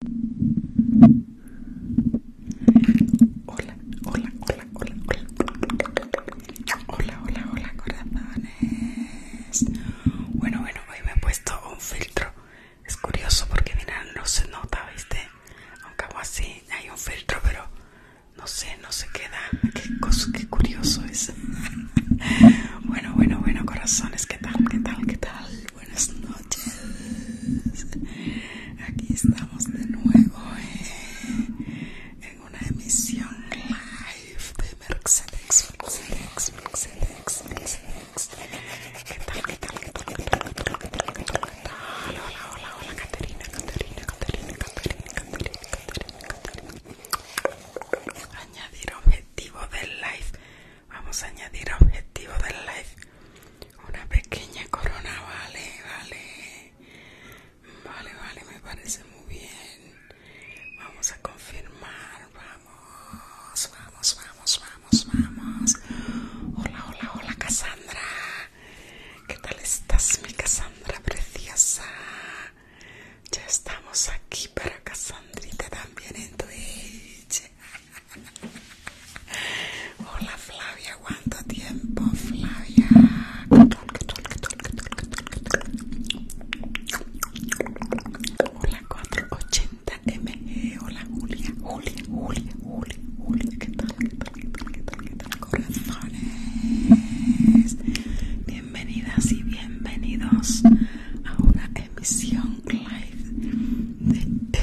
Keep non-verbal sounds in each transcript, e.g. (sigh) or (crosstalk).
Hola, hola, hola, hola, hola. Hola, hola, hola, corazones. Bueno, bueno, hoy me he puesto un filtro. Es curioso porque mira, no se nota, ¿viste? Aunque hago así, hay un filtro, pero no sé, no se queda. Qué qué curioso es. (laughs) bueno, bueno, bueno, corazones, ¿qué tal? ¿Qué tal? ¿Qué tal? buenas noches. Aquí estamos de nuevo eh, en una emisión live de Mercedes, Mercedes, ¿Qué tal? ¿Qué tal? ¿Qué tal? ¿Qué tal? ¿Qué tal? ¿Qué tal? Hola, hola, hola, Caterina, Caterina, Caterina, Caterina, Caterina, Caterina, Caterina. Añadir objetivo del live. Vamos a añadir objetivo del live. Una pequeña corona, vale, vale. Vale, vale, me parece muy bien. Vamos a confirmar, vamos, vamos, vamos, vamos, vamos. Hola, hola, hola, Casandra ¿Qué tal estás, mi Casandra preciosa? Ya estamos aquí para Cassandrita también en Twitch. Hola Flavia, ¿cuánto tiempo Flavia? Hola 480MG, hola Julia, Julia, Julia, Julia, ¿qué tal? ¿Qué tal? ¿Qué tal? ¿Qué tal? ¿Qué tal? Corazones, bienvenidas y bienvenidos a una emisión live de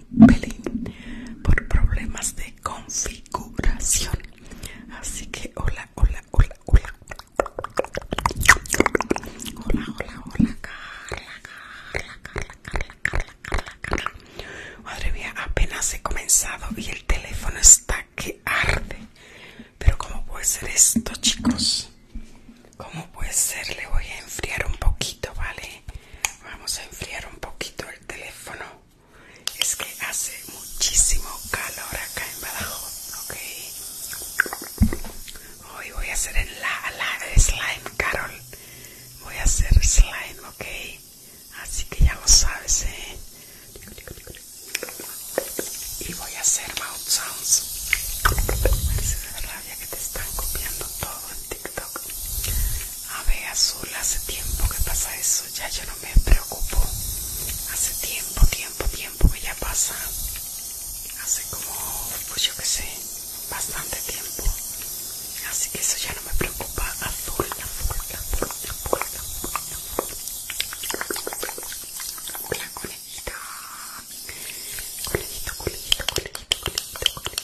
por problemas de configuración. Así que hola, hola, hola, hola. Hola, hola, hola, Carla, Carla, Carla, Carla, Carla, Carla, Carla. Madre mía, apenas he comenzado y el teléfono está que arde. Pero ¿cómo puede ser esto, chicos? ¿Cómo puede ser? Le voy a enfriar un poquito, ¿vale? Vamos a enfriar un poquito el teléfono. Es que hace muchísimo calor acá en Badajoz, ¿ok? Hoy voy a hacer el slime, Carol. Voy a hacer slime, ¿ok? Así que ya lo sabes, ¿eh? Y voy a hacer mouth sounds. la rabia que te están copiando todo en TikTok. A ver azul, hace tiempo que pasa eso, ya yo no me preocupo. Hace tiempo, tiempo, tiempo que ya pasa. Hace como, pues yo que sé, bastante tiempo. Así que eso ya no me preocupa. Azul, azul, azul, azul, azul. Hola, conejita. Conejito, conejito, conejito, conejito, conejito.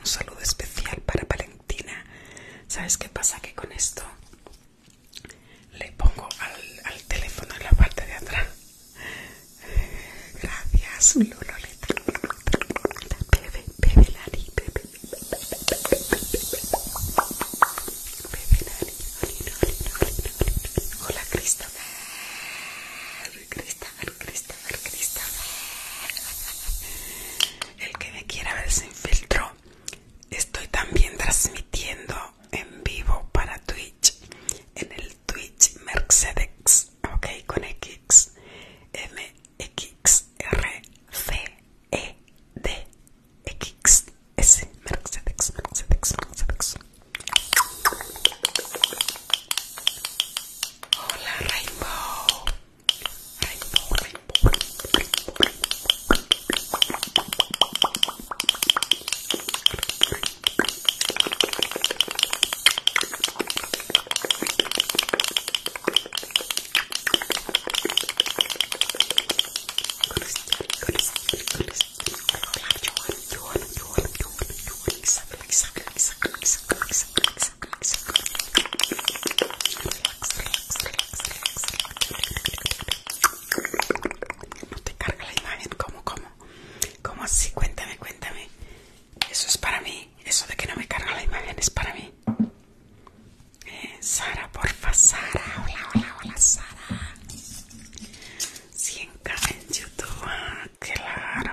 un saludo especial para Valentina. ¿Sabes qué pasa? Que con esto le pongo al, al teléfono en la parte de atrás. Gracias, Lololita. Bebe, bebe, Lali, bebe. Bebe, Lali. Hola, Christopher cristal, cristal, El que me quiera ver sin filtro. Estoy también transmitiendo en vivo para Twitch. En el Twitch Mercedes. Ok, con X. M X R C E D X S Mercedes, Mercedes, Mercedes. Hola Rainbow. Rainbow, Rainbow. Rainbow. relax, relax, relax. No te carga la imagen, ¿cómo, cómo? ¿Cómo así? Cuéntame, cuéntame. Eso es para mí, eso de que no me carga la imagen es para mí. Eh, Sara, porfa, Sara, hola, hola, hola, Sara. 100k en YouTube, ah, claro.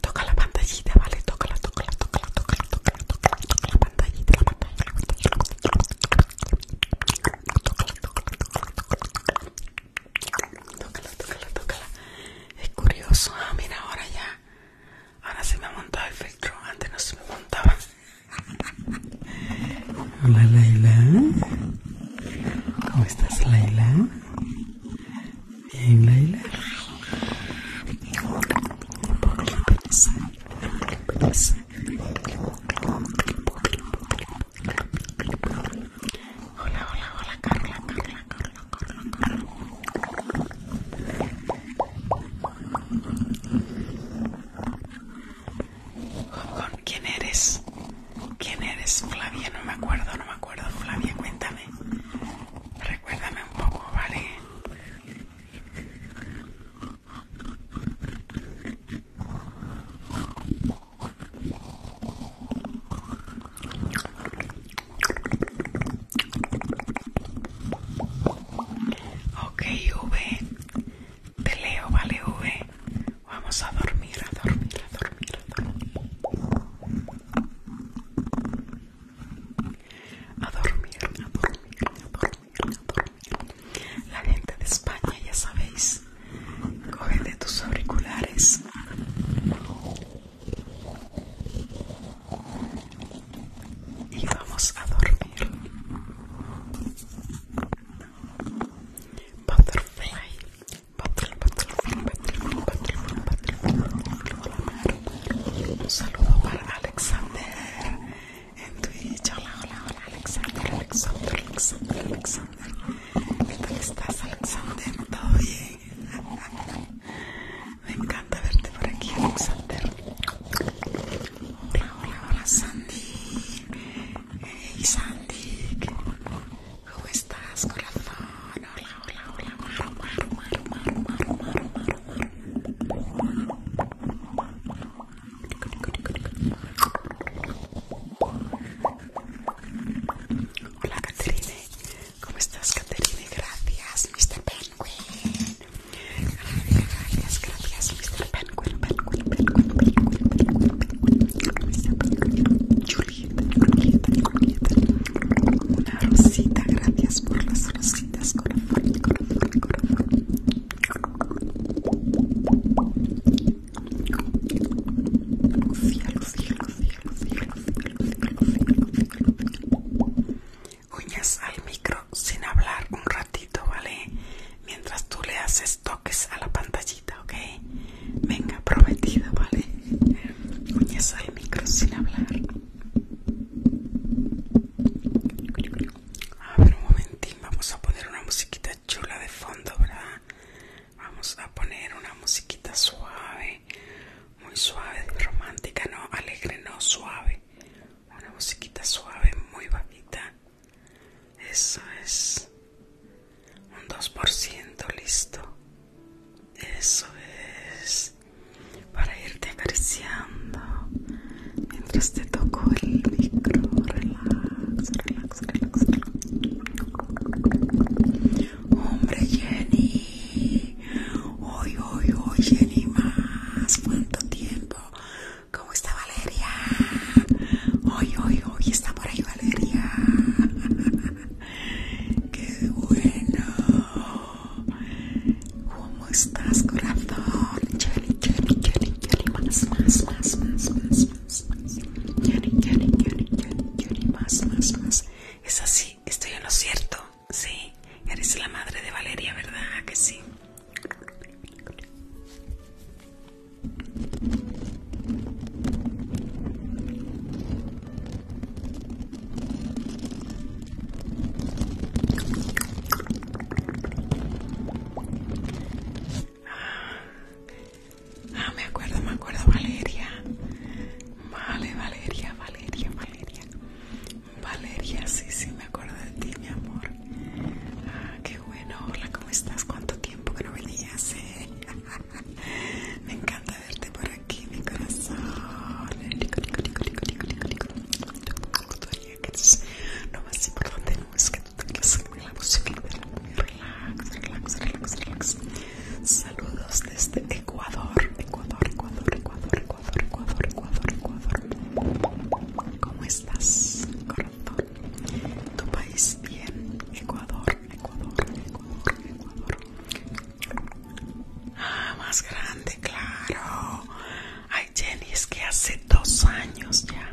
Toca la pantallita, ¿vale? Toca la, toca tócala, toca tócala, toca la pantallita, la pantalla, la la pantalla. Tócala, tócala, tocala, tocala, Es curioso, ah, mira, ahora ya. Ahora se me ha montado el filtro, antes no se me montaba. Hola Leila. ¿cómo estás Laila? Bien, Laila. Hola, hola, hola, Carla, Carla, Carla, Carla, Carla. ¿Con quién eres? ¿Quién eres, Flavia? No me acuerdo, no me acuerdo, Flavia, cuéntame. Recuérdame un poco, ¿vale? Ok, V, te leo, vale, V. Vamos a dormir, a dormir, a dormir, a dormir. A dormir, a dormir, a dormir, a dormir. La gente de España, ya sabéis, coge de tus auriculares. Y vamos a dormir. Butterfly, un saludo para Alexander en Twitch. Hola, hola, hola, Alexander, Alexander, Alexander, Alexander. ¿Qué tal estás, Alexander? ¿Todo bien? Me encanta verte por aquí, Alexander. Hola, hola, hola, Sandy. Hey, Sandy. ¿Cómo estás, corazón? Hola, hola, hola, Hola, Caterine. ¿Cómo estás, Caterine? Gracias, Mr. Penguin. Gracias, gracias, Mr. Penguin, una rosita, gracias por las rositas, corazón, corazón, Uñas al micro sin hablar un ratito, ¿vale? Mientras tú le haces toques a la pantallita, ¿ok? Venga, prometido, ¿vale? Uñas al micro sin hablar. A ver, un momentín, vamos a poner una musiquita chula de fondo, ¿verdad? Vamos a poner una musiquita suave, muy suave, romántica, no alegre, no suave. Una musiquita suave, muy bajita. Eso es un 2% listo eso es para irte acariciando mientras te toco el micro relax relax relax, hombre Jenny hoy hoy hoy Jenny más cuánto tiempo ¿Cómo está Valeria? Hoy, hoy, hoy está por ahí Valeria. (laughs) Qué bueno. ¿Cómo estás, corazón? más, más, más, más, más, más, más. más, más, más. Es así, estoy en lo cierto. Sí, eres la madre de Valeria, ¿verdad? Que sí. Ah, me acuerdo, me acuerdo, Valeria. Vale, Valeria, Valeria, Valeria. Valeria, sí, sí, me acuerdo de ti, mi amor. Ah, qué bueno. Hola, ¿cómo estás? ¿Cuánto tiempo que no venías? Eh? (laughs) (laughs) Me encanta verte por aquí, mi corazón. Rico, rico, rico, rico, rico, rico, rico. Lo más importante no es que tú te quedes en la música Relax, relax, relax, relax. Saludos desde Ecuador. Ecuador, Ecuador, Ecuador, Ecuador, Ecuador, Ecuador, Ecuador. ¿Cómo estás, corazón? ¿Tu país bien? Ecuador, Ecuador, Ecuador, Ecuador. Ah, más grande, claro. Ay, Jenny, es que hace dos años ya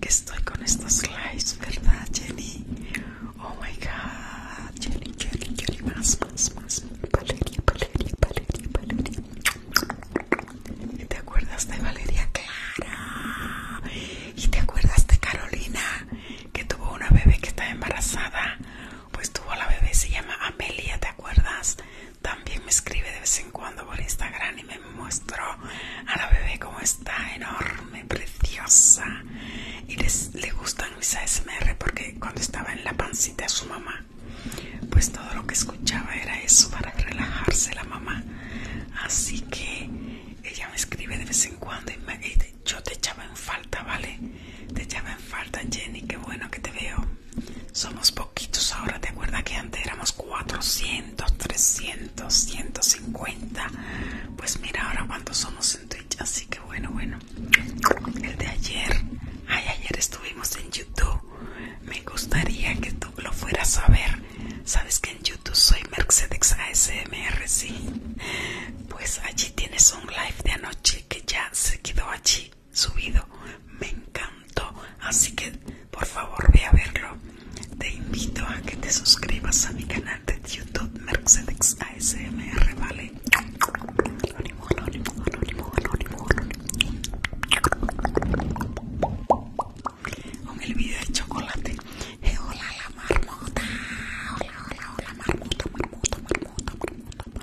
que estoy con estos lives, ¿verdad, Jenny? Oh my god, Jenny, Jenny, Jenny, más, más, más. Valeria, Valeria, Valeria, Valeria. ¿Y ¿Te acuerdas de Valeria Clara? ¿Y te acuerdas de Carolina? Que tuvo una bebé que estaba embarazada pues tuvo la bebé, se llama Amelia, ¿te acuerdas? También me escribe de vez en cuando por Instagram y me muestra a la bebé como está, enorme, preciosa. Y les, le gustan mis ASMR porque cuando estaba en la pancita de su mamá, pues todo lo que escuchaba era eso para relajarse la mamá. Así que ella me escribe de vez en cuando y, yo te echaba en falta, ¿vale? Te echaba en falta, Jenny, qué bueno que te veo. Somos poquitos ahora, ¿te acuerdas que antes éramos 400, 300, 150? Pues mira ahora cuántos somos en Twitch, así que bueno, bueno. El de ayer, ay, ayer estuvimos en YouTube. Me gustaría que tú lo fueras a ver. Sabes que en YouTube soy Mercedes ASMR, sí. Pues allí tienes un live de anoche que ya se quedó allí subido. Me encantó. Así que por favor ve a verlo. Te invito a que te suscribas a mi canal de YouTube Mercedes ASMR, ¿vale? Anónimo, anónimo, anónimo, anónimo, Con el video de chocolate. Eh, hola, marmota. Hola, hola, hola, marmota, marmota, marmota, marmota,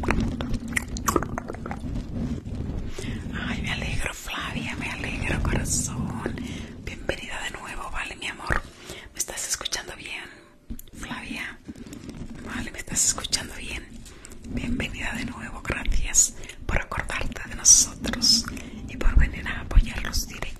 marmota, marmota. Ay, me alegro, Flavia, me alegro, corazón. Bienvenida de nuevo, vale, mi amor. ¿Me estás escuchando bien, Flavia? Vale, me estás escuchando bien. Bienvenida de nuevo, gracias por acordarte de nosotros y por venir a apoyarlos directamente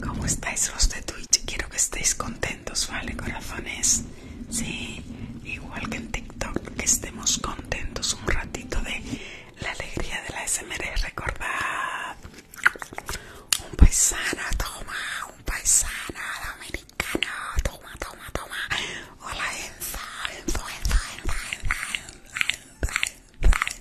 ¿Cómo estáis los de Twitch? Quiero que estéis contentos, ¿vale, corazones? Sí, igual que en TikTok, que estemos contentos un ratito de la alegría de la SMR. Recordad, un paisano, toma, un paisano dominicano, toma, toma, toma. Hola, Enza. Enzo,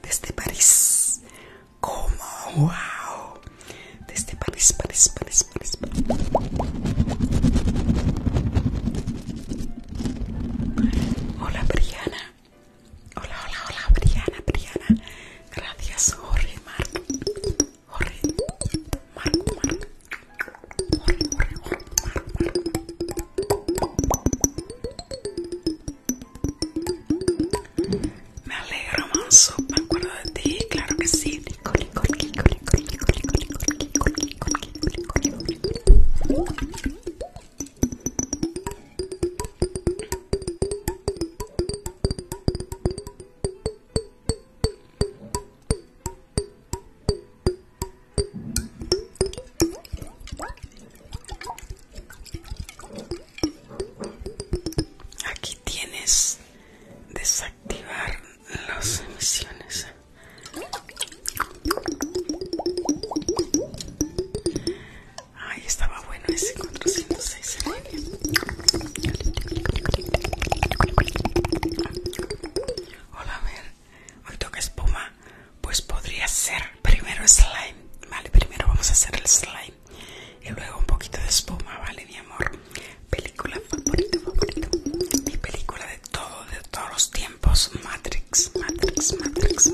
Desde París, como wow, desde París, París, París, París. Hola, Briana. Hola, hola, hola, Briana, Briana. Gracias, Jorge, Marco, Jorge, Marco, Me alegro, Manso. Me acuerdo de ti, claro que sí. Aquí tienes desactivar las emisiones. Ay, estaba bueno ese 406 Hola, a ver, hoy toca espuma. Pues podría ser primero slime, ¿vale? Primero vamos a hacer el slime y luego un poquito de espuma, ¿vale, mi amor? Película favorita, favorita. Mi película de todo, de todos los tiempos, Matrix, Matrix, Matrix.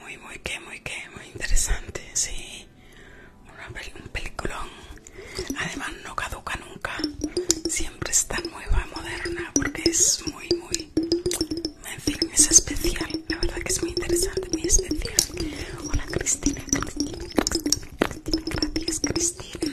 muy, muy qué, muy qué, muy interesante, sí. un peliculón. Además no caduca nunca. Siempre está nueva, moderna, porque es muy, muy... En fin, es especial. La verdad que es muy interesante, muy especial. Hola Cristina, Cristina, Cristina, Cristina, gracias Cristina.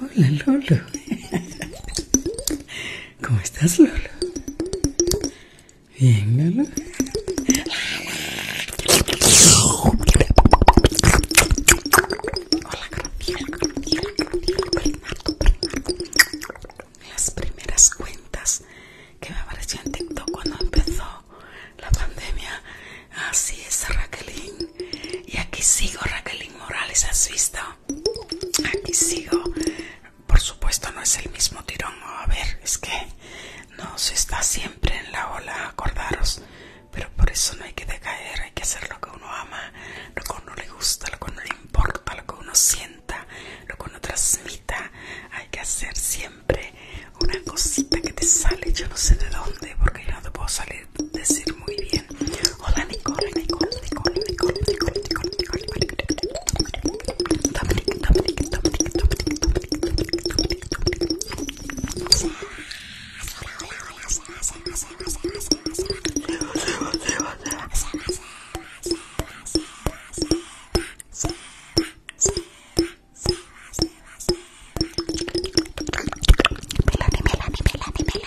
Hola Lolo. ¿Cómo estás Lolo? Bien Lolo. Hola Las primeras cuentas que me apareció TikTok cuando empezó la pandemia. Así es, Raquelín. Y aquí sigo, Raquelín Morales, ¿has visto? Aquí sigo. Por supuesto no es el mismo tirón. A ver, es que no se está siempre en la ola, acordaros. Pero por eso no hay que decaer, hay que hacer lo que uno ama, lo que uno le gusta, lo que uno le importa, lo que uno sienta, lo que uno transmita. Hay que hacer siempre una cosita que te sale, yo no sé de dónde, porque yo no te puedo salir decir muy bien. Hola se va, se va, Hola, hola,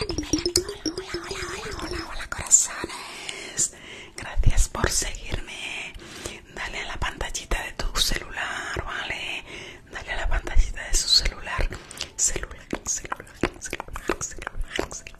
hola, hola, hola, hola, corazones. Gracias por seguirme. Dale a la pantallita de tu celular, ¿vale? Dale a la pantallita de su celular. Celular, celular, celular, celular, celular, celular.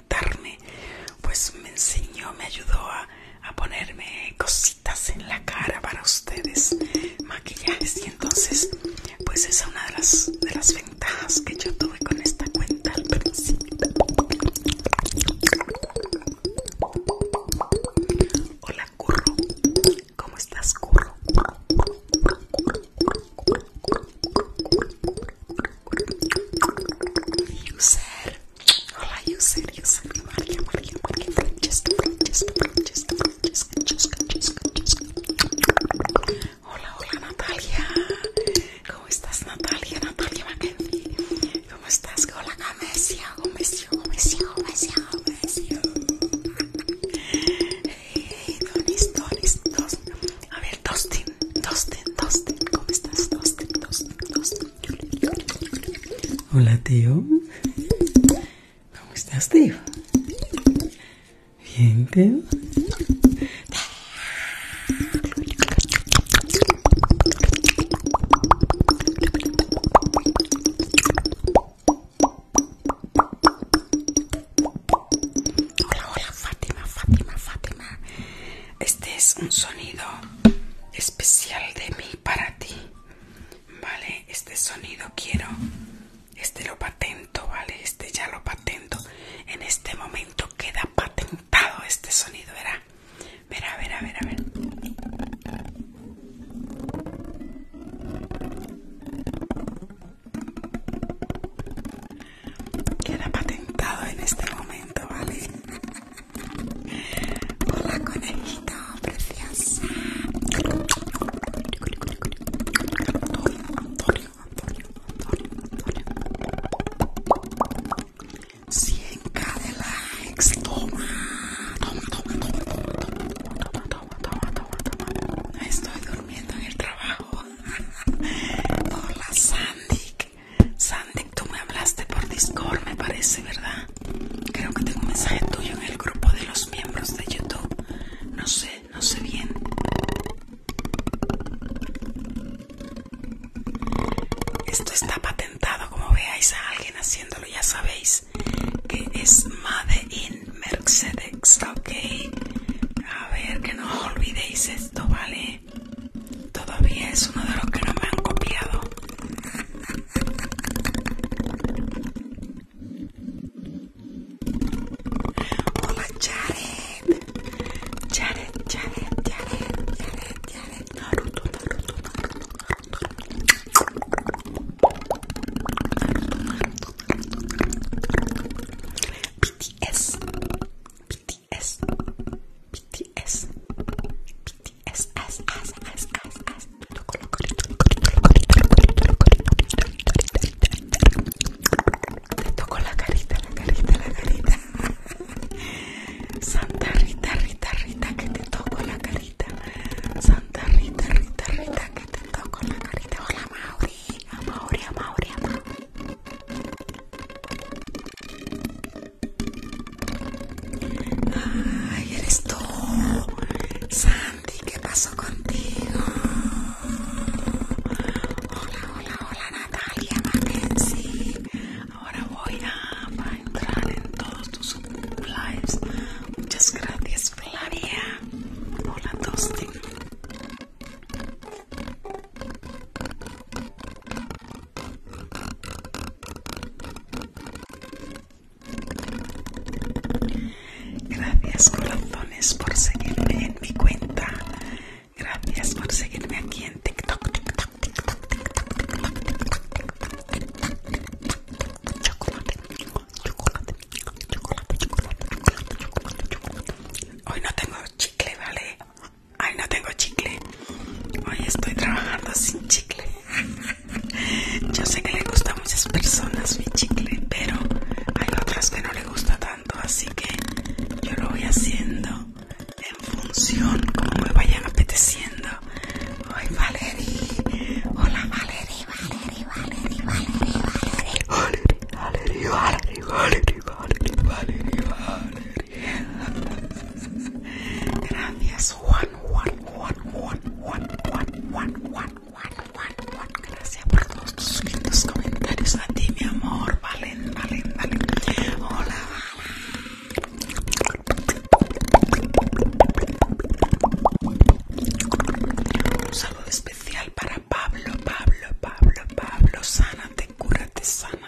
pues me enseñó, me ayudó a, ponerme cositas en la cara para ustedes, maquillajes. Y entonces, pues esa es una de las, de las ventajas que yo tuve con esta cuenta al principio. Hola, Curro. ¿Cómo estás, Curro? User. Hola, Hola, hola, Natalia. ¿Cómo estás, Natalia? Natalia ¿Cómo estás? Hola, Gamesia, Gomesia, Gomesia, Gomesia, Gomesia. Hey, dos. A ver, Dustin, dos ten, ¿cómo estás? Dustin, dos Dustin. Hola, tío. ¿Cómo estás, tío? Bien, tío. Hola, hola, Fátima, Fátima, Fátima. Este es un sonido especial de mí para ti. Vale, este sonido quiero. Este lo patento, vale. Este ya lo patento. En este momento queda patentado este sonido, verá. a ver, a ver. Queda patentado en este momento, ¿vale? Por la conejito preciosa. Antonio, Antonio, Antonio, Antonio, Antonio. 100k de likes. Toma, toma, toma, toma, toma, toma, toma, toma, toma, toma. No estoy durmiendo en el trabajo. Por la Sandy. Sandy, tú me hablaste por Discord, me parece, ¿verdad? Creo que tengo un mensaje tuyo en el grupo de los miembros de YouTube. No sé, no sé bien. Esto está patentado, como veáis a alguien haciéndolo, ya sabéis que es Made in Mercedes, ok. A ver, que no olvidéis esto, ¿vale? todavía es uno de los que no me han copiado. Hola Jared. Jared, Jared, Jared, Jared, Jared. Naruto, Naruto, es as as te toco la carita, la carita, la carita Santa Rita, Rita, que te toco la carita Santa Rita, Rita, Rita, que te toco la carita Hola Mauri, Mauria Ay, eres tú, Santi, ¿qué pasó contigo? Hola, hola, hola, Natalia sí! Ahora voy a, entrar en todos tus lives. Muchas gracias, Flavia. Hola, Tosti. Gracias corazones por seguirme en mi cuenta. Gracias por seguirme aquí en TikTok. Chocolate, chocolate, chocolate, chocolate, chocolate, chocolate, Hoy no tengo chicle, ¿vale? Ay, no tengo chicle. Hoy estoy trabajando sin chicle. (laughs) Yo sé que le gusta a muchas personas mi chicle, pero hay otras que no le gusta tanto, así que yo lo voy haciendo en función como me vayan apeteciendo. Ay, Valerie. Hola, Valerie, Valerie, Valerie, Valerie, Valerie. Valerie, Valerie, Valerie, Valerie, Valerie, Valerie. Gracias, Juan, Juan, Juan, Juan, Juan, Juan, Juan, Juan, Juan, Juan, Juan. Gracias por todos tus comentarios a ti, mi amor. Valen, Valen, Valen. Hola, Un saludo especial para Pablo, Pablo, Pablo, Pablo. Sánate, cúrate, sana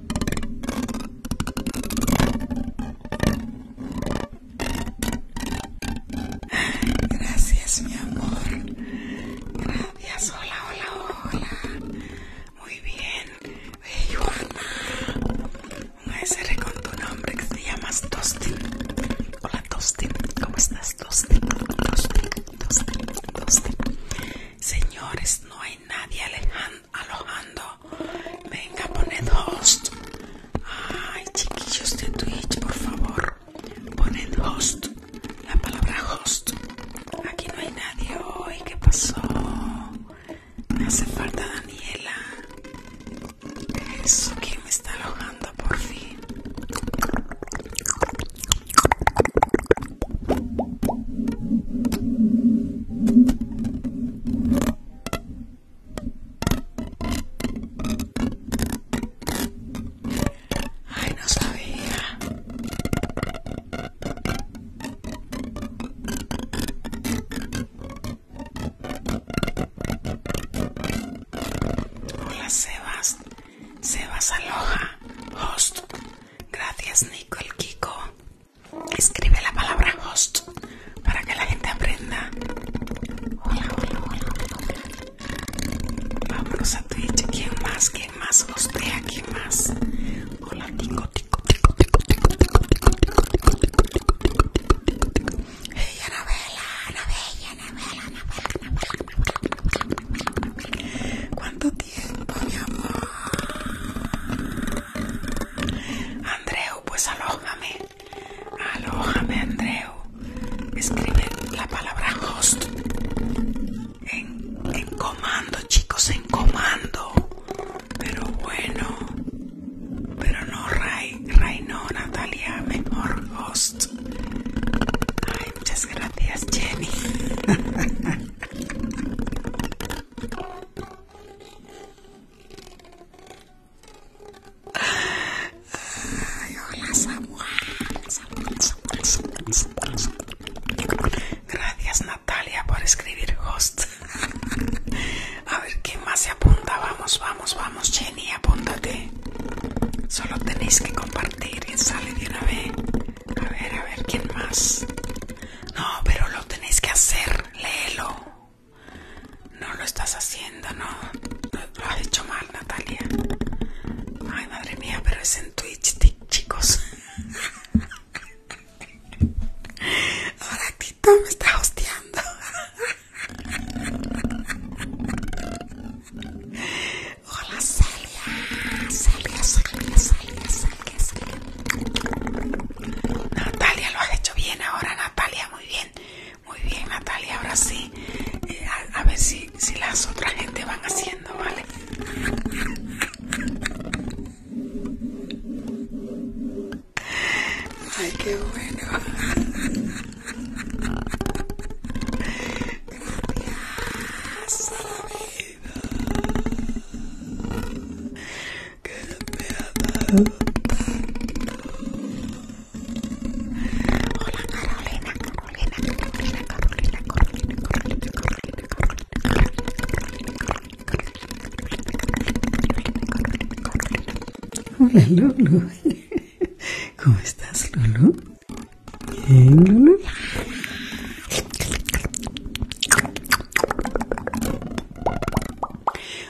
Gracias, mi amor. Gracias, hola, hola, hola. Muy bien. Hey, Un SR con tu nombre que se llama Dustin. Hola, Dustin. ¿Cómo estás, Tostin, Dustin, Dustin, Dustin. Señores, no hay nadie alojando Venga, poned host. Ay, chiquillos de Twitch, por favor. Poned host. La palabra host. Aquí no hay nadie hoy. ¿Qué pasó? Me hace falta Daniela. Eso, ¿quién me está alojando por fin? Ay, no sabía. Hola Sebas, Sebas Aloha, host. Gracias Nico el Kiko. Escribe la palabra host para que la gente aprenda. Hola, hola, hola, hola. a ¿Quién más? ¿Quién más ¿Quién más? Hola, tico, tico, tico, tico, tico, tico, tico, tico, tico, tico, tico, ¿Cuánto tiempo, mi amor? Andreu, pues alójame. Alójame, Andreu. Escribe la palabra host en, comando, chicos, en comando. Pero bueno, pero no, Ray, Ray no, Natalia, mejor host. Ay, muchas gracias, Jenny. (laughs) Gracias Natalia por escribir host. A ver, ¿quién más se apunta? Vamos, vamos, vamos, Jenny, apúntate. Solo tenéis que compartir y sale de una vez. A ver, a ver, ¿quién más? No, pero lo tenéis que hacer, léelo. No lo estás haciendo, no. Lo, has hecho mal, Natalia. Ay, madre mía, pero es en Twitch, chicos. (laughs) Ahora Tito me está hosteando. Hola, Celia. Celia, Celia, Celia, Celia, Celia. Natalia, lo has hecho bien ahora, Natalia, muy bien. Muy bien, Natalia, ahora sí. Eh, a, ver si, las otras gente van haciendo, ¿vale? Ay, qué bueno. Hola Carolina, Carolina, Carolina, Carolina, Carolina, Hola Lulu, ¿cómo estás Lulu.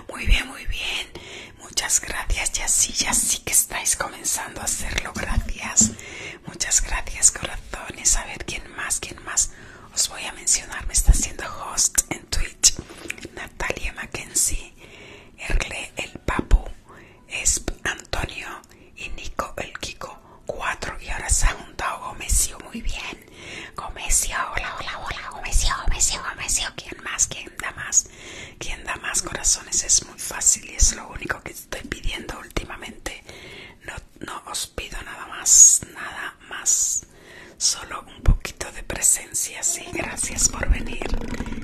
Muy bien, muy bien. Muchas gracias. Ya sí, ya sí que estáis comenzando a hacerlo. Gracias. Muchas gracias, corazones. A ver quién más, quién más. Os voy a mencionar. Me está haciendo host en Twitch. Natalia Mackenzie, Erle el Papu, Esp Antonio y Nico el Kiko. Cuatro. Y ahora se ha juntado Muy bien quién? hola, hola, hola, Comecio, Comecio, Comecio, ¿quién más? ¿Quién da más? ¿Quién da más corazones? Es muy fácil y es lo único que estoy pidiendo últimamente. No, os pido nada más, nada más. Solo un poquito de presencia, sí. Gracias por venir.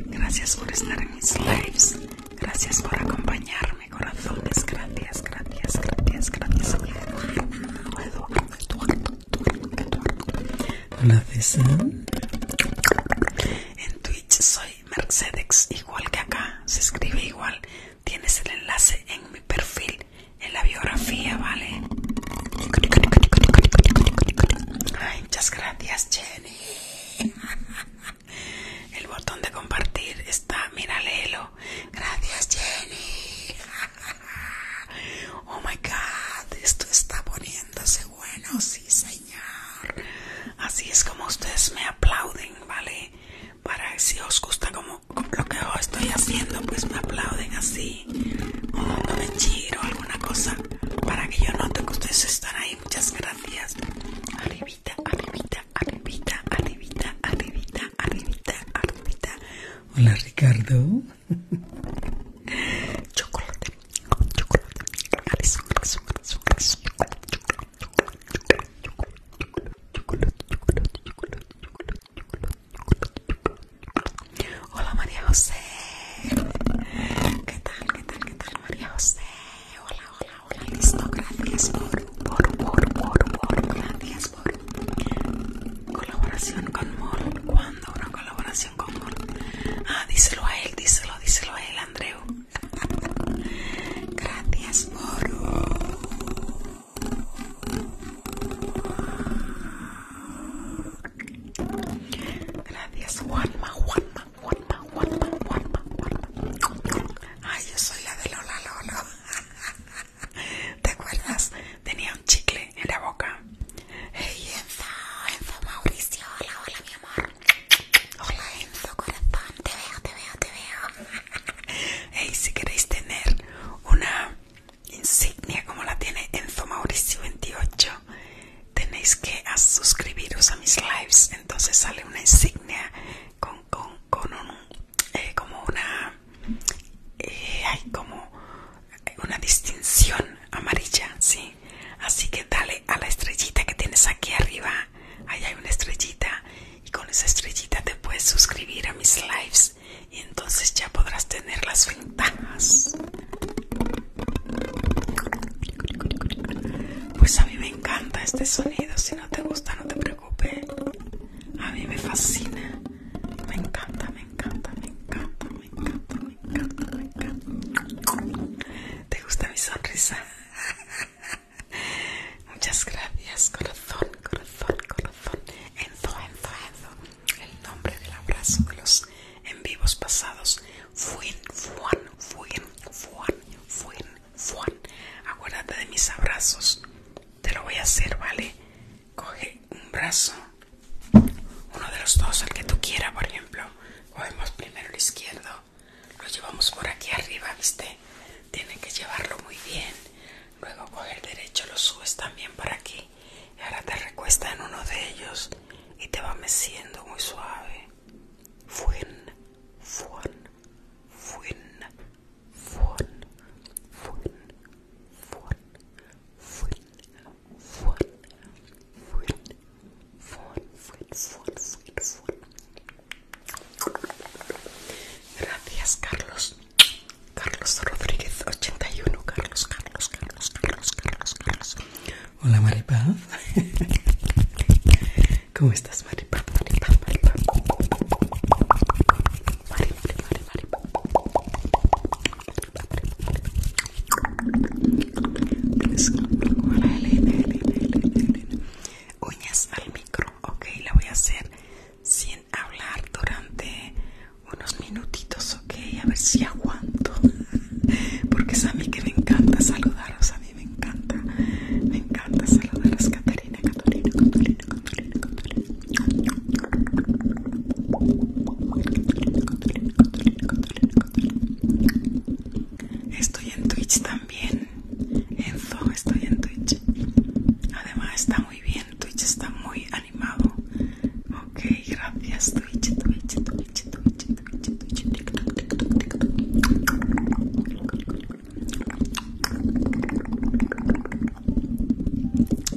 Gracias por estar en mis lives. Gracias por acompañarme, corazones. Gracias, gracias, gracias, gracias. Hola, En Twitch soy Mercedes, igual que acá. Se escribe igual. Tienes el enlace en mi perfil, en la biografía, ¿vale? muchas gracias, Jenny. (laughs) El botón de compartir está, mira, léelo. Gracias, Jenny. (laughs) Oh my god, esto está poniéndose bueno, sí señor. Así es como ustedes me aplauden, ¿vale? Para si os gusta como lo que yo estoy haciendo, pues me aplauden así. de chiro o alguna cosa. Para que yo note que ustedes están ahí. Muchas gracias. Arribita, arribita, arribita, arribita, arribita, arribita, arribita. Hola Ricardo chocolate, chocolate, chocolate, chocolate, chocolate, chocolate, chocolate, chocolate, chocolate, chocolate, Hola María José, ¿qué tal, qué tal, chocolate, chocolate, María José? Hola, hola, hola, listo, gracias por, por, por, por, chocolate, colaboración con Mol una colaboración con Ah, díselo a él, díselo, díselo a él, Andreu. Gracias, Gracias, Juanma, Juanma, Juanma, Juanma, Juanma, Ay, yo soy la de Lola Lolo. (laughs) ¿Te acuerdas? Tenía chicle en la boca. Hey Enzo, Enzo Mauricio, hola, hola mi amor. Hola Enzo, corazón, te veo, te veo, te veo. Hey, (laughs) si queréis tener una insignia como la tiene Enzo Mauricio 28, tenéis que suscribiros a mis lives. Entonces sale una insignia con, con, con un, eh, como una, hay eh, como una distinción amarilla, ¿sí? Así que dale a la estrellita que tienes aquí arriba. Ahí hay una estrellita y con esa estrellita te puedes suscribir a mis lives y entonces ya podrás tener las ventajas. Pues a mí me encanta este sonido, si no te gusta no te preocupes. A mí me fascina. Me encanta, me encanta, me encanta me encanta, me encanta, me encanta. ¿Te gusta mi sonrisa? Muchas gracias, corazón, corazón, corazón. Enzo, Enzo, Enzo. El nombre del abrazo de los en vivos pasados. Fuin, fuan, fuin, fuan, fuin, fuan. Acuérdate de mis abrazos. Te lo voy a hacer, ¿vale? Coge un brazo uno de los dos, el que tú quieras, por ejemplo, cogemos primero el izquierdo, lo llevamos por aquí arriba, ¿viste? Tienen que llevarlo muy bien, luego con el derecho, lo subes también por aquí, y ahora te recuesta en uno de ellos y te va meciendo muy suave. Fuen, Fuerte, fuerte, full, fuerte, full, fuerte. Gracias, Carlos. Carlos Rodríguez 81. Carlos, Carlos, Carlos, Carlos, Carlos, Carlos. Hola, Maripaz. (laughs) ¿Cómo estás, Maripaz? Maripaz, Maripaz. Maripaz, Maripaz. Maripaz, Maripaz. Uñas al micro, ok, la voy a hacer sin hablar durante unos minutitos, ok, a ver si aguanto, (laughs) porque es a mí que me encanta saludaros, a mí me encanta, me encanta saludaros, Catalina, Catalina, Catarina, Catalina, Catalina. Estoy en Twitch también. Zoom estoy en Twitch. Además está muy bien, Twitch está muy animado. Ok, gracias Twitch, Twitch, Twitch, Twitch, Twitch, Twitch,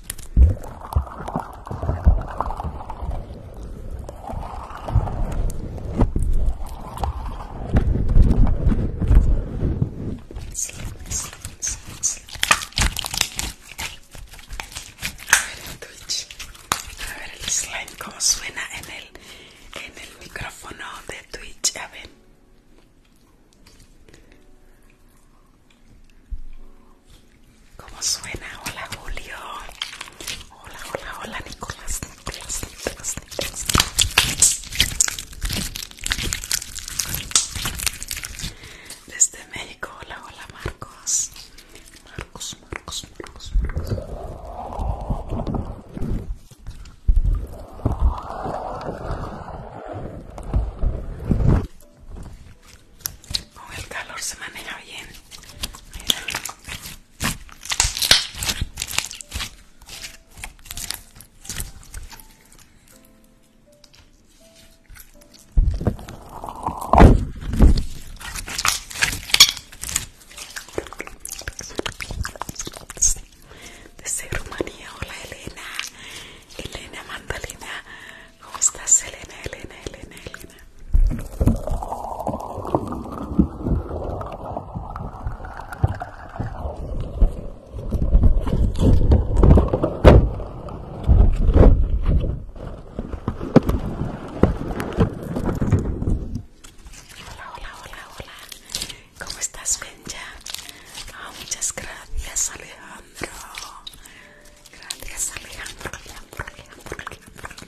A ver el Twitch. A ver el slime cómo suena en el en el micrófono de Twitch. A ver. ¿Cómo suena? Hola Julio. Hola, hola, hola Nicolás, Nicolás, Nicolás, Desde México, hola, hola Marcos. Marcos, Marcos, Marcos, Marcos. Con el calor se maneja bien. de ser Rumanía, hola Elena, Elena Mandalina, ¿Cómo estás, Elena, Elena, Elena, Elena? Hola, hola, hola, hola. ¿Cómo estás, Benja? Ah, muchas gracias, Alejandro. Gracias, Alejandro, hola, hola, hola, hola, hola.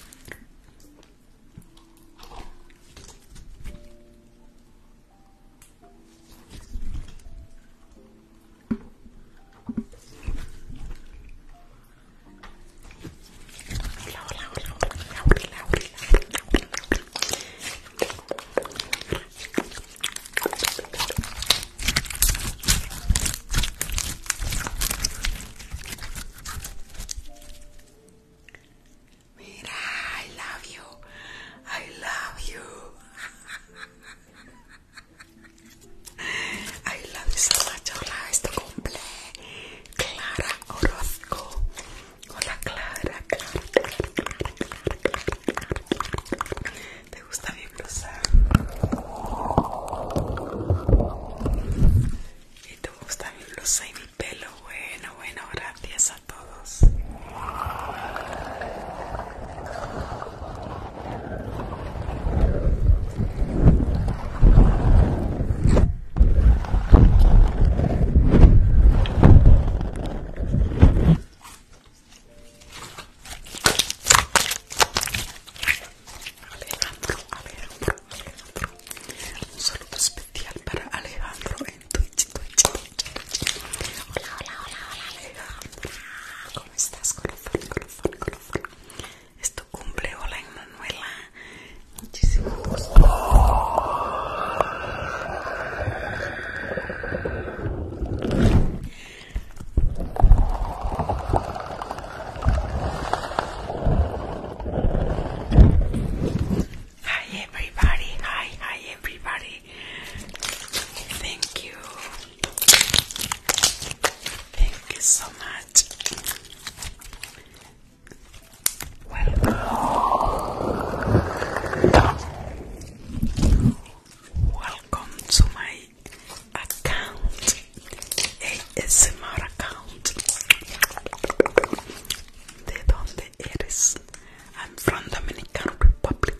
Mira, I love you. I love you. I love you Hola, esto cumple. Clara Orozco. Hola, ¿Te gusta bien blusa? Y te gusta mi blusa y mi pelo. Bueno, bueno, gracias a todos. Alejandro, Alejandro, Alejandro. Un saludo especial para Alejandro en Twitch, Twitch, Twitch. Hola, hola, hola, hola, Alejandro. ¿Cómo estás, con Es tu cumple, hola, Manuela Muchísimo gusto. Hi everybody, hi, hi everybody. Thank you. Thank you so much. Welcome. Welcome to my account. ASMR account. De donde eres? I'm from Dominican Republic.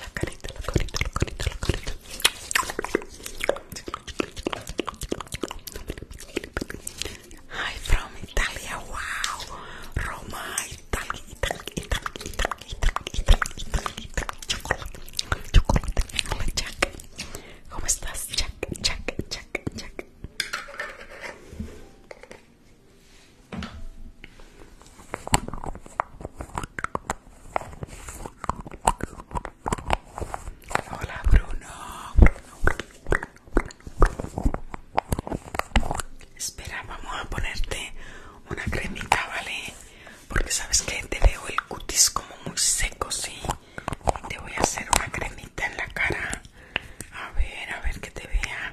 la carita, la carita, la carita, Hi from Italia, wow. Roma, Italia, Italia, Italia, Italia, Italia, Chocolate, chocolate. ¿Cómo estás? check. Hola Bruno. Espera, vamos a ponerte una cremita, ¿vale? Porque sabes que te veo el cutis como muy seco, sí. te voy a hacer una cremita en la cara. A ver, a ver que te vea.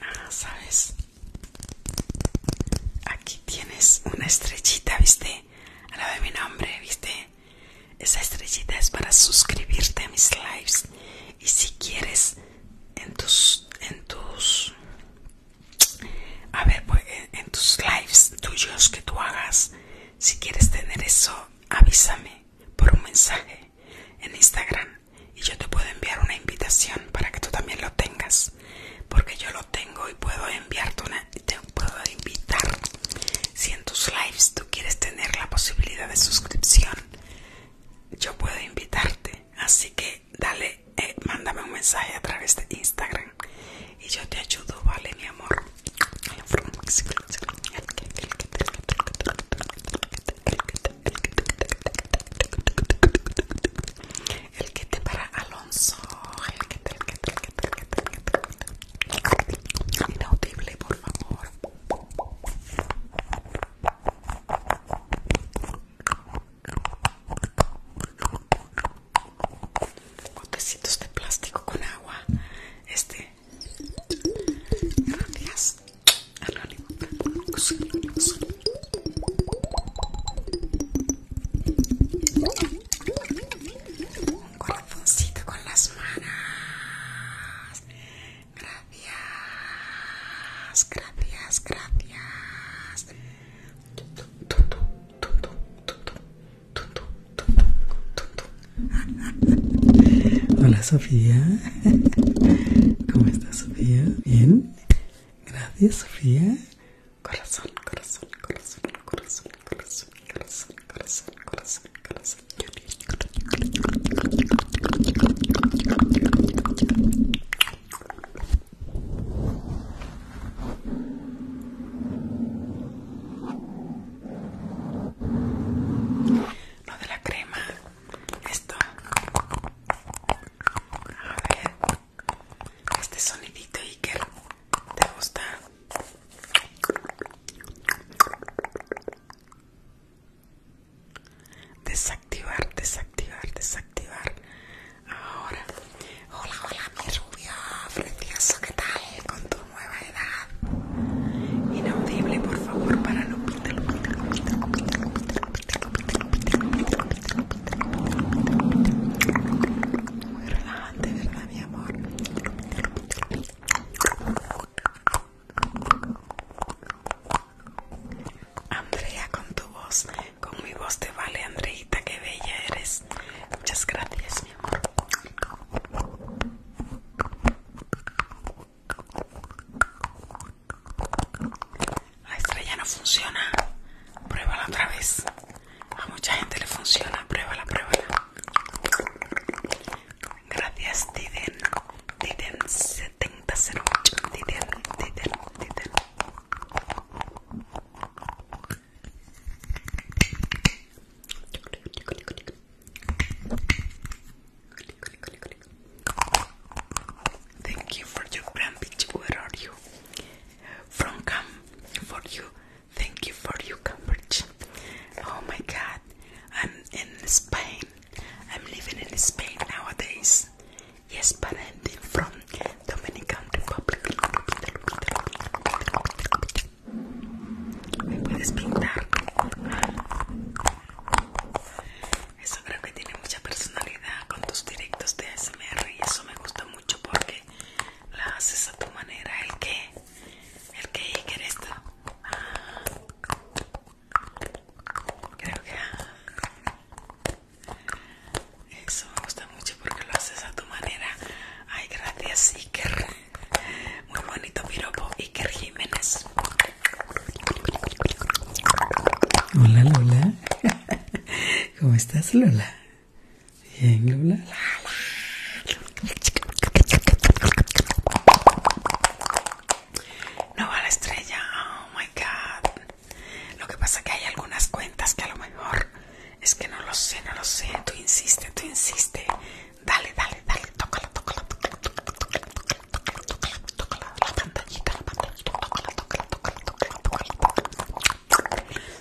Ah, ¿sabes? Aquí tienes una estrellita, ¿viste? A la de mi nombre, ¿viste? Esa estrellita es para suscribirte a mis lives. Y si quieres, en tus. En tus a ver, pues en tus lives tuyos que tú hagas, si quieres tener eso, avísame por un mensaje en Instagram y yo te puedo enviar una invitación para que tú también lo tengas porque yo lo tengo y puedo enviarte una te puedo invitar si en tus lives tú quieres tener la posibilidad de suscripción yo puedo invitarte así que dale eh, mándame un mensaje a través de Instagram y yo te ayudo vale mi amor el que te para Alonso. El que te, el que el Inaudible, por favor. Botecitos de plástico con agua. Este. Gracias. Un corazoncito con las manos. Gracias, gracias, gracias. Hola Sofía, ¿cómo estás Sofía? ¿Bien? Gracias, Sofía Corazón, corazón, corazón, corazón, corazón, corazón, corazón, corazón, corazón. No de la crema, esto este sonidito Iker te gusta desactivar desactivar desactivar ahora hola hola mi rubio precioso qué tal con tu nueva edad inaudible por favor para Lupita Lupita Lupita Lupita Lupita Lupita Lupita Lupita Lupita muy relajante, ¿verdad, mi amor? Andrea, con tu voz, con mi voz te vale, Andreita, qué bella eres. Muchas gracias, mi amor. La estrella no funciona. Pruébala otra vez. A mucha gente le funciona. Pruébala, pruébala. Gracias, Tiden, tiden 7008. Tiden, click click Thank you for your grand bitch. Where are you? From Come for you. Thank you for your coverage. Oh my god. I'm in Spain. I'm living in Spain nowadays. Yes, but I'm from Dominican Republic. ¿Me puedes pintar? Eso creo que tiene mucha personalidad con tus directos de ASMR y eso me gusta mucho porque lo haces a tu manera. ¿El qué? ¿El qué? Iker? ¿Esto? Ah, creo que... Ah. Eso me gusta mucho porque lo haces a tu manera. Ay, gracias Iker. Muy bonito piropo. Iker Jiménez. Hola, hola. ¿Cómo estás, Lola? Bien, Lola. No va la estrella, oh my god. Lo que pasa es que hay algunas cuentas que a lo mejor es que no lo sé, no lo sé. Tú insiste, tú insiste. Dale, dale, dale, tócala, tócala, tócala, tócala, tócala, tócala, tócala, tócala, tócala, la pantallita, la pantalla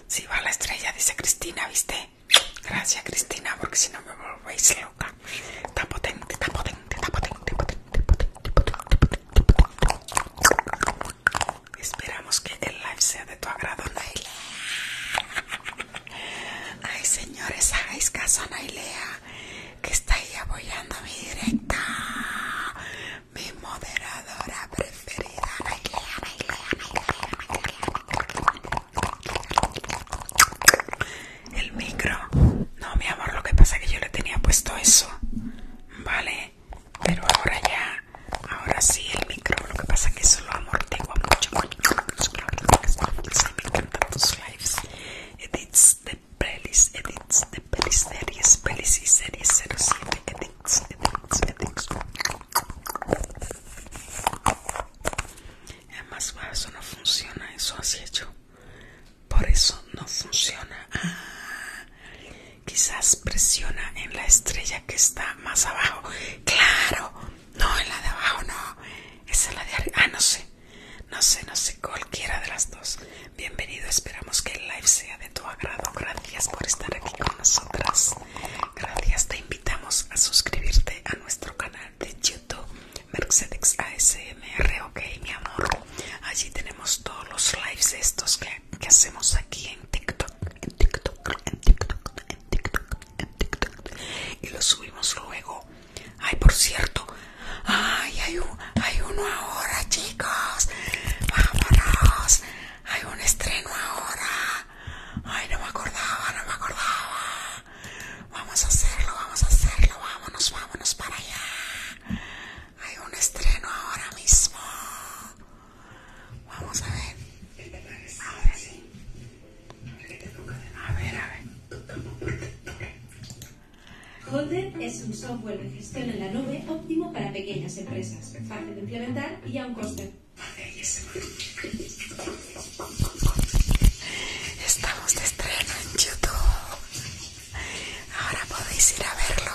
si va la estrella, dice Cristina, ¿viste? Gracias, Cristina, porque si no me volvéis loca. Está potente, está potente, está potente, potente, potente, potente, Esperamos que el live sea de tu agrado, Nailea. Ay, señores, hagáis caso a Nailea, que está ahí apoyando mi directa mi moderadora preferida. El micro. No, mi amor, lo que pasa es que yo le tenía puesto eso. Vale, pero ahora ya, ahora sí el micro. Lo que pasa es que eso lo amortigua mucho. Me encantan tus lives. Edits de pelis, edits de pelis series, pelis y series 07. Es más eso no funciona, eso así hecho. Por eso no funciona. Ah, quizás presiona en la estrella que está más abajo. Claro, no, en la de abajo no. Esa es la de arriba. Ah, no sé. No sé, no sé, cualquiera de las dos. Bienvenido, esperamos que el live sea de tu agrado. Gracias por estar aquí con nosotras. Gracias, te invitamos a suscribirte a nuestro canal de YouTube Mercedes ASMR, ok, mi amor. Allí tenemos todos los lives estos que, que hacemos aquí en TikTok, en TikTok, en TikTok, en TikTok, en TikTok. Y los subimos luego. Ay, por cierto, ay, hay, hay uno ahora, chicos. Vámonos. Hay un estreno ahora. Ay, no me acordaba, no me acordaba. Vamos a hacerlo, vamos a hacerlo. Vámonos, vámonos para allá. Hay un estreno ahora mismo. Vamos a ver. Ahora sí. A ver, a ver. Holder es un software de gestión en la nube óptimo para pequeñas empresas fácil de implementar y a un coste. Estamos de estreno en YouTube. Ahora podéis ir a verlo.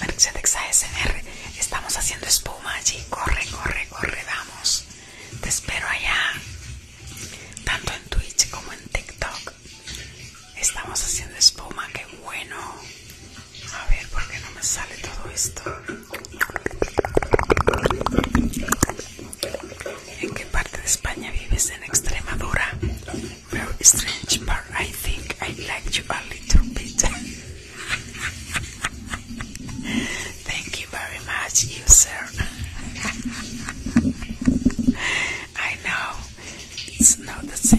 Mercedes ASMR. Estamos haciendo espuma allí. Corre, corre, corre, vamos. Te espero allá. Tanto en Twitch como en TikTok. Estamos haciendo espuma, qué bueno. A ver, ¿por qué no me sale todo esto? ¿En qué parte de España vives? En Extremadura. Very strange part. I think I like you a little bit. (laughs) Thank you very much, you (laughs) I know it's not the same.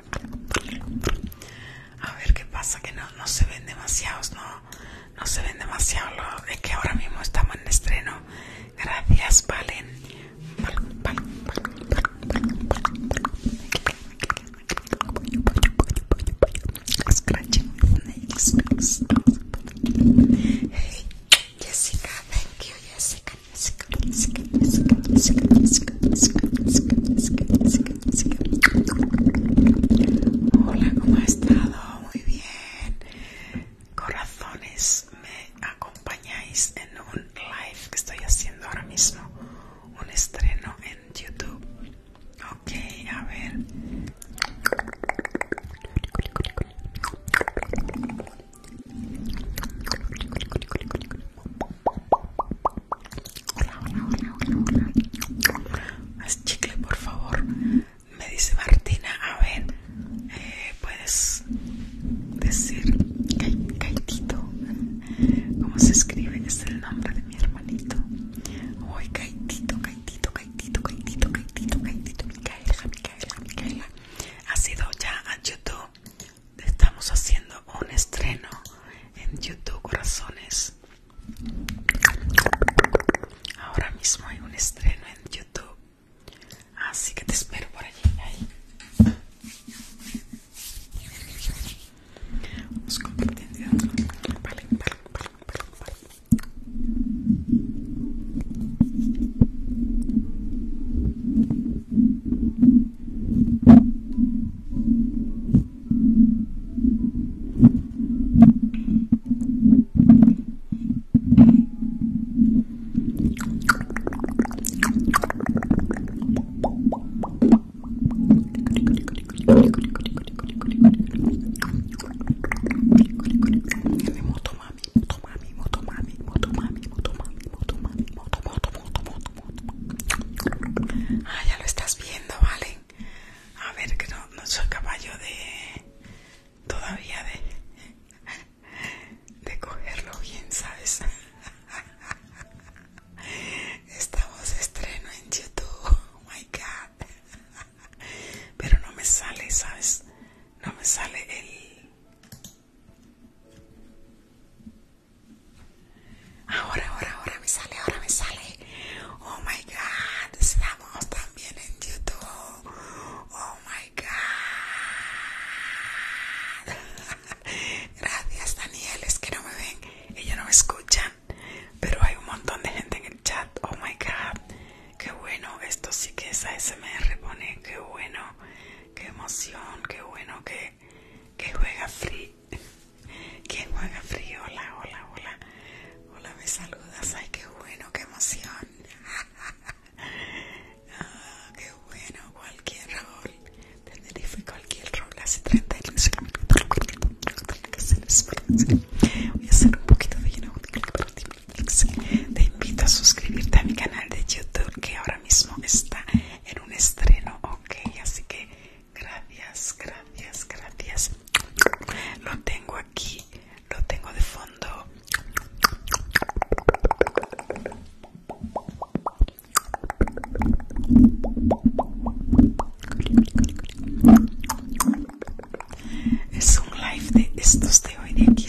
A ver qué pasa, que no, se ven demasiados, no, se ven demasiado. es que ahora mismo estamos en estreno. Gracias, Valen. Hola, ¿cómo ha estado? Muy bien. Corazones, me acompañáis en un live que estoy haciendo ahora mismo. Un estreno en YouTube. Ok, a ver. Hola, hola, hola, hola, hola. Haz chicle, por favor. Me dice Martina, a ver, eh, puedes decir Caitito. ¿Cómo se escribe? Es el nombre de mi hermanito. Hoy Caitito, Caitito, Caitito, Caitito, Caitito, Caitito, Micaela, Micaela, Micaela. Ha sido ya a YouTube. Estamos haciendo un estreno en YouTube, corazones. Ahora mismo hay un estreno en YouTube, así que te espero por allí. Ah, ya lo estás viendo, vale. A ver, que no, no soy caballo de... Todavía de... De cogerlo bien, ¿sabes? Esta voz estreno en YouTube. Oh my God. Pero no me sale, ¿sabes? No me sale el... Ahora, ahora, ahora me sale, ahora me sale. Oh my god, estamos también en YouTube. Oh my god. (laughs) Gracias, Daniel. Es que no me ven, ella no me escuchan. Pero hay un montón de gente en el chat. Oh my god, qué bueno. Esto sí que es ASMR, pone. Qué bueno, qué emoción, qué bueno que, que juega free ¿Quién juega frío? Hola, hola, hola. Hola, me saludas. Ay, qué bueno, qué emoción. (laughs) ah, qué bueno, cualquier rol. Tenerife, cualquier rol. Hace 30 años. Voy a hacer un poquito de lleno. Te invito a suscribirte a mi canal de YouTube que ahora mismo está en un estreno, ok. Así que Gracias, gracias, gracias. Lo tengo aquí, lo tengo de fondo. Es un live de estos de hoy de aquí,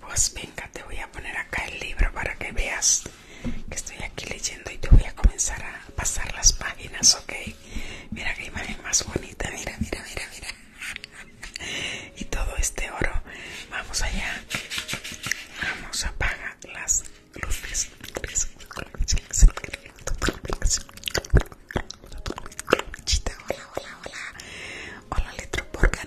Pues venga, te voy a poner acá el libro para que veas que estoy aquí leyendo y te voy a comenzar a pasar las páginas, ¿ok? Mira qué imagen más bonita, mira, mira, mira, mira. y todo este oro. Vamos allá. Vamos, a apaga las luces. Chita, hola, hola, hola. Hola, Letroporca,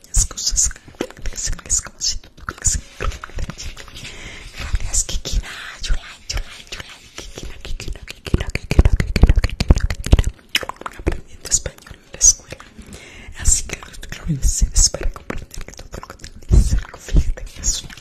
cosas es como si tú gracias español que que que fíjate que es una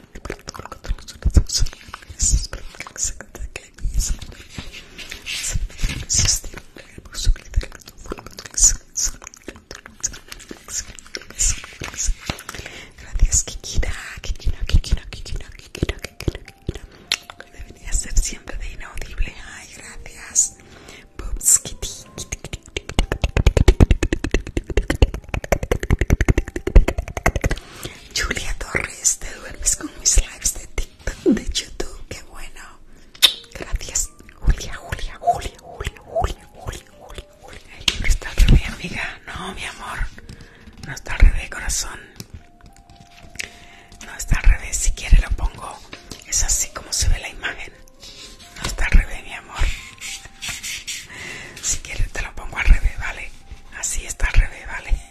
Gracias, Kikina, Kikina. Debería ser siempre de inaudible. gracias. Julia Torres, te duermes con mis lives de TikTok, de YouTube, qué bueno. Gracias, Julia, Julia, Julia, Julia, Julia, Julia, Julia, Julia. El libro está al revés, amiga. No, mi amor. No está al revés, corazón. No está al revés. Si quiere lo pongo. Es así como se ve la imagen. No está al revés, mi amor. Si quieres te lo pongo al revés, ¿vale? Así está al revés, ¿vale?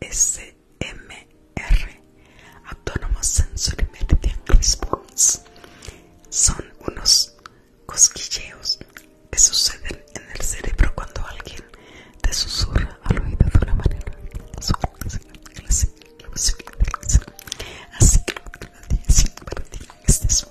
ASMR, Autonomous Sensory de Response, son unos cosquilleos que suceden en el cerebro cuando alguien te susurra al oído de una manera así que este es un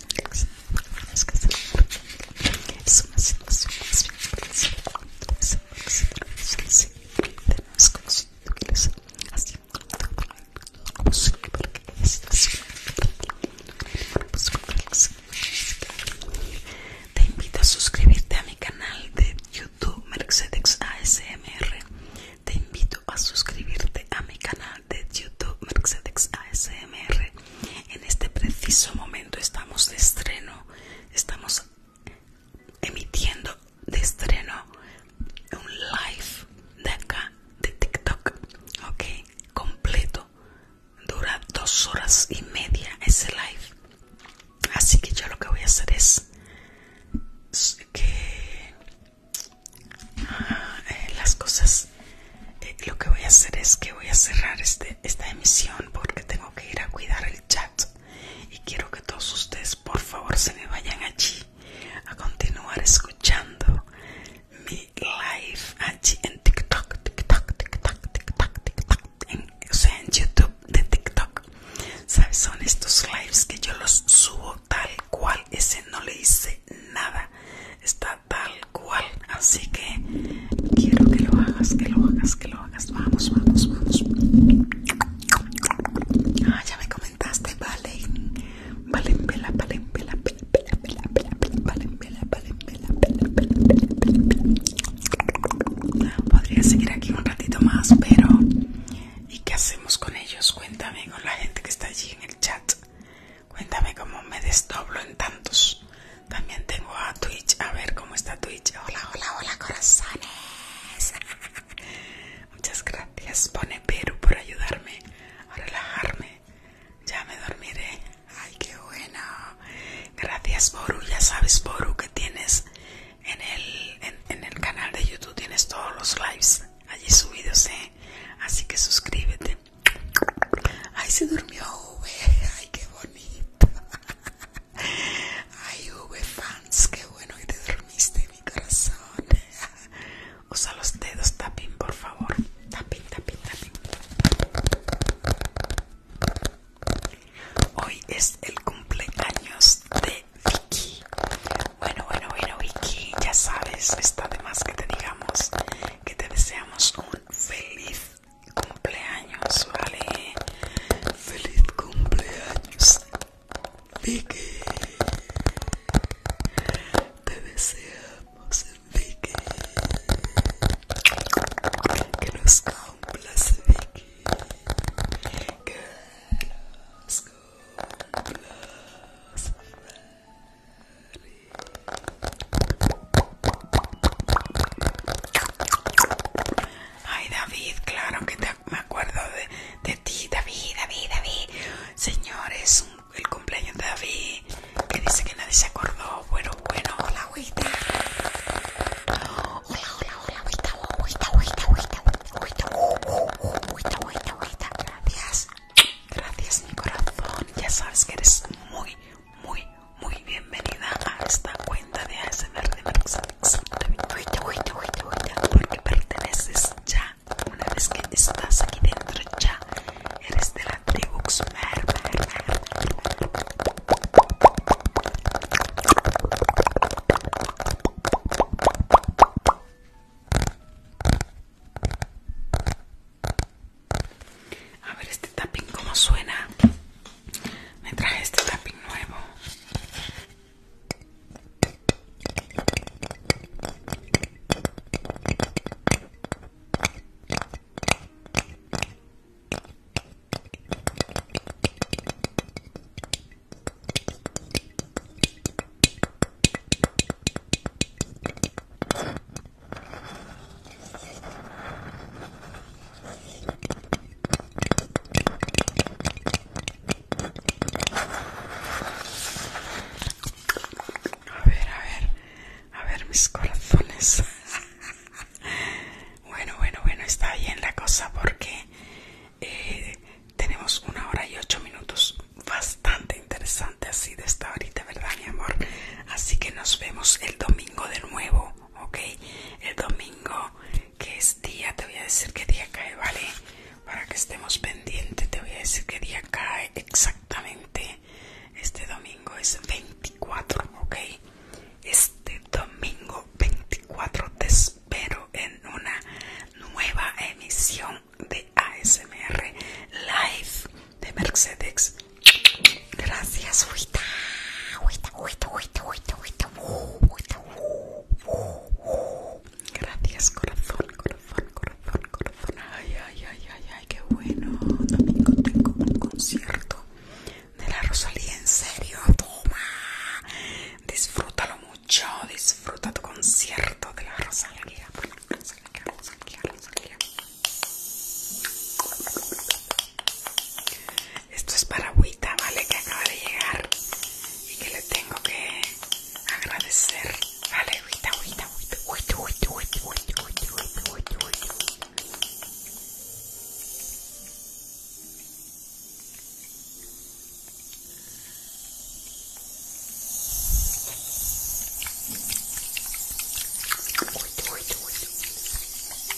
te invito a suscribirte a mi canal de YouTube Mercedes ASMR. Te invito a suscribirte a mi canal de YouTube Mercedes ASMR. En este preciso momento estamos de estreno, estamos emitiendo de estreno un live de acá, de TikTok, ok, completo. Dura dos horas y media ese live. Así que yo lo que voy a hacer es que ah, eh, las cosas eh, lo que voy a hacer es que voy a cerrar este, esta emisión porque tengo que ir a cuidar el chat. Y quiero que todos ustedes, por favor, se me vayan allí a continuar escuchando mi live allí en TikTok, TikTok, TikTok, TikTok, TikTok, o sea, en YouTube de TikTok. ¿Sabes? Son estos lives que yo los subo tal cual. Ese no le hice nada. Está tal así que quiero que lo hagas que lo hagas que lo hagas vamos vamos vamos ah ya me comentaste vale valen vela valen vela valen vela valen vela ah, podría seguir aquí un ratito más pero y qué hacemos con ellos cuéntame con la gente que está allí en el chat Cuéntame cómo me desdoblo en tantos. También tengo a Twitch. A ver cómo está Twitch. Hola, hola, hola, corazones. (laughs) Muchas gracias, pone Peru, por ayudarme a relajarme. Ya me dormiré. Ay, qué bueno. Gracias, Boru. Ya sabes, Boru, que tienes en el, canal de YouTube. Tienes todos los lives allí subidos, ¿eh? Así que suscríbete. Ay, se durmió V. Ay, qué bonito. Ay, V fans, qué bueno que te dormiste, mi corazón. Usa los dedos, tapin, por favor. Tapping, tapin, tapin. Hoy es el cumpleaños de Vicky. Bueno, bueno, bueno, Vicky, ya sabes, está de más que te digamos que te deseamos un feliz cumpleaños, ¿vale? ¡Feliz cumpleaños! Vicky Te deseamos, Vicky Que nos cumplas, Vicky Que nos cumplas, Ay, David, claro que me acuerdo de, ti, David, David, David. Señores, el cumpleaños de David, que dice que nadie se acordó. Bueno, bueno, hola, agüita. Hola, hola, hola, Gracias, gracias, mi corazón. Ya sabes que eres muy, muy, muy bienvenida a esta cuenta de ASMR de Mercedes. Oye, oye, oye, porque perteneces ya. Una vez que estás aquí dentro ya, eres de la tribu ver. A ver este tapping cómo suena. Me traje este tapping nuevo. A ver, a ver, a ver mis corazones. (laughs) bueno, bueno, bueno, está bien la cosa porque eh, tenemos una hora y ocho minutos. Bastante interesante así de esta ahorita, ¿verdad, mi amor? Así que nos vemos el domingo de nuevo ok el domingo que es día te voy a decir qué día cae vale para que estemos pendientes te voy a decir qué día cae exactamente este domingo es 24 ok este domingo 24 te espero en una nueva emisión de ASMR Live de Mercedes Gracias, Huita. Huita, Huita, Huita, Huita, Huita. Huita, Gracias, corazón, corazón, corazón, corazón. Ay, ay, ay, ay, ay, qué bueno. Domingo tengo un concierto de la Rosalía, en serio. Toma. Disfrútalo mucho. Disfruta tu concierto de la Rosalía. Rosalía, Rosalía, Rosalía. Esto es para Agüita, ¿vale? Que acaba de llegar y que le tengo que agradecer. Vale, Agüita, Huita, Huita, Agüita, Agüita, Agüita, Agüita, Agüita, Agüita, Uy, uy, uy,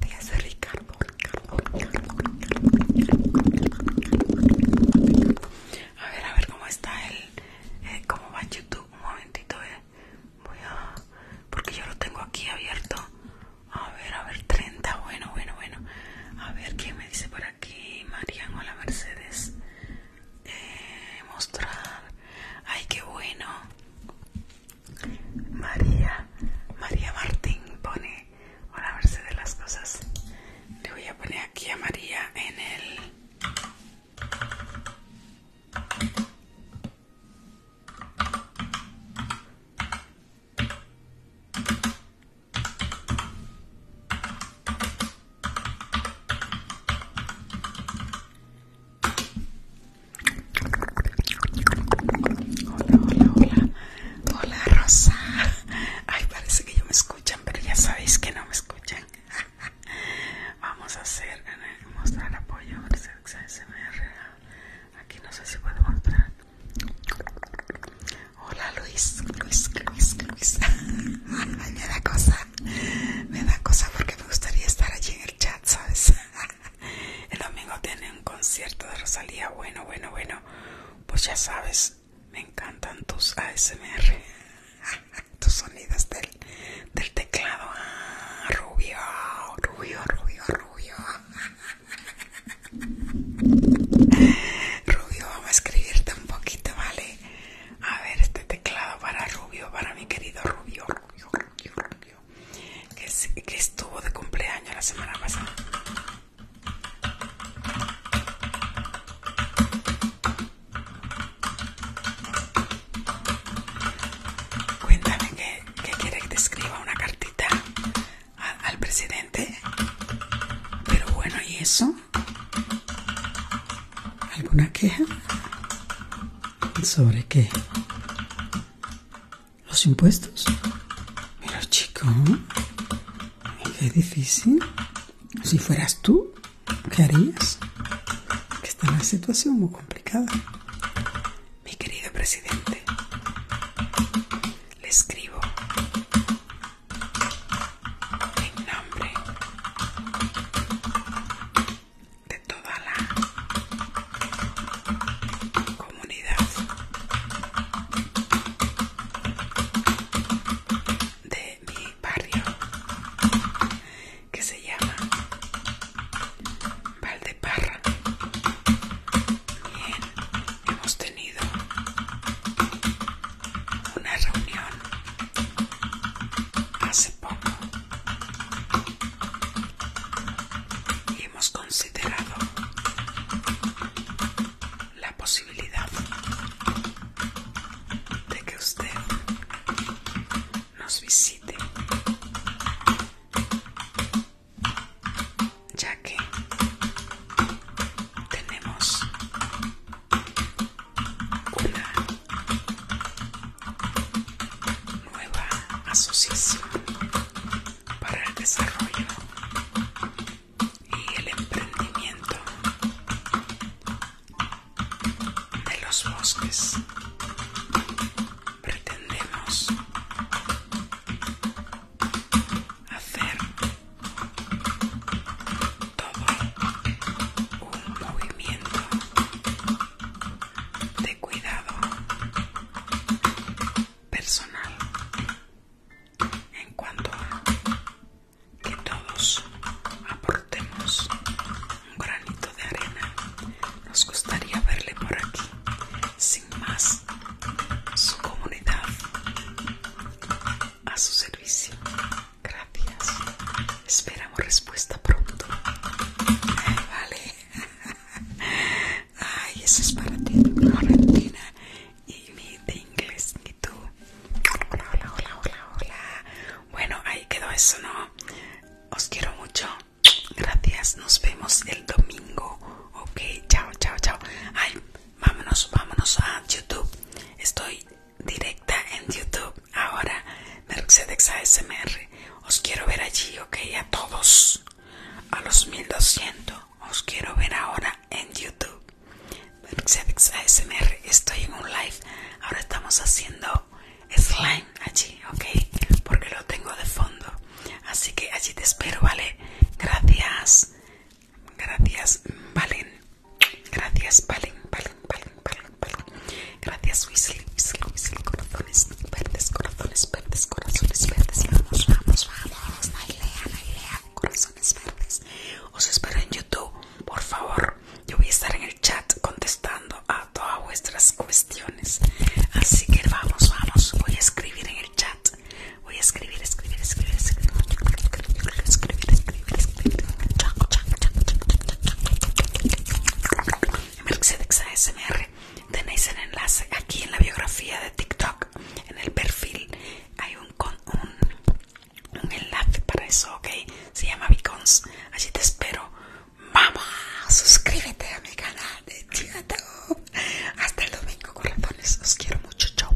Gracias, Ricardo, A ver, a ver cómo está el. Eh, ¿Cómo va YouTube? Un momentito, eh. Voy a. Porque yo lo tengo aquí abierto. A ver, a ver, 30. Bueno, bueno, bueno. A ver, ¿quién me dice por aquí? Marian, hola, Mercedes. Eh, mostrar. Ay, qué bueno. María, María Martín pone, para a verse de las cosas. Le voy a poner aquí a María en el... Hola, hola, hola. Hola, Rosa. Ay, parece que yo me escuchan, pero ya sabéis que no me escuchan. (laughs) Vamos a hacer, mostrar apoyo. Aquí no sé si puedo mostrar. Hola, Luis. Luis, Luis, Luis. (laughs) Ay, me la cosa. (laughs) me da cosa porque me gustaría estar allí en el chat, ¿sabes? (laughs) El domingo tiene un concierto de Rosalía, bueno, bueno, bueno, pues ya sabes, me encantan tus ASMR, (laughs) tus sonidos del, del teclado, ah, rubio, rubio, rubio, rubio. Rubio, vamos a escribirte un poquito, ¿vale? A ver, este teclado para Rubio, para mi querido Rubio, Rubio, Rubio, Rubio que, estuvo de cumpleaños la semana pasada. Cuéntame que, quiere que te escriba una cartita al presidente. Pero bueno, ¿y eso? ¿Alguna queja? ¿Sobre qué? ¿Los impuestos? Mira, chico, qué difícil. Si fueras tú, ¿qué harías? Que está en una situación muy complicada. Mi querido presidente, le escribo en nombre de toda la comunidad de mi barrio que se llama Valdeparra. Bien, hemos tenido una reunión hace poco hemos considerado la posibilidad de que usted nos visite ya que tenemos una nueva asociación para el desarrollo y el emprendimiento de los bosques. Pretendemos hacer todo un movimiento de cuidado personal en cuanto a que todos aportemos un granito de arena nos gustaría verle por aquí sin más su comunidad a su servicio Gracias. Esperamos respuesta pronto. Vale. Ay, eso es para ti, Florentina. Y mi de inglés, y tú. Hola, hola, hola, hola, hola. Bueno, ahí quedó eso, ¿no? Os quiero mucho. Gracias. Nos vemos el domingo. Ok, chao, chao, chao. Ay, vámonos, vámonos a YouTube. Estoy directa en YouTube ahora, Mercedes ASMR. Os quiero ver allí, ok, a todos. A los 1200. Os quiero ver ahora en YouTube. Mercedes ASMR. Estoy en un live. Ahora estamos haciendo slime allí, ok, porque lo tengo de fondo. Así que allí te espero, ¿vale? Gracias. Gracias, Valen. Gracias, Valen, Valen. Gracias, Weasley, corazones verdes, corazones verdes, corazones verdes. vamos, vamos, vamos, corazones verdes. Os espero en YouTube, por favor. Yo voy a estar en el chat contestando a todas vuestras cuestiones. Así que vamos, vamos, voy a escribir en el chat. Voy a escribir, escribir, escribir, escribir, escribir, escribir, Mercedes ASMR tenéis el enlace aquí en la biografía de TikTok en el perfil hay un, un, enlace para eso ok se llama Vicons allí te espero vamos suscríbete a mi canal de hasta el domingo corazones os quiero mucho chao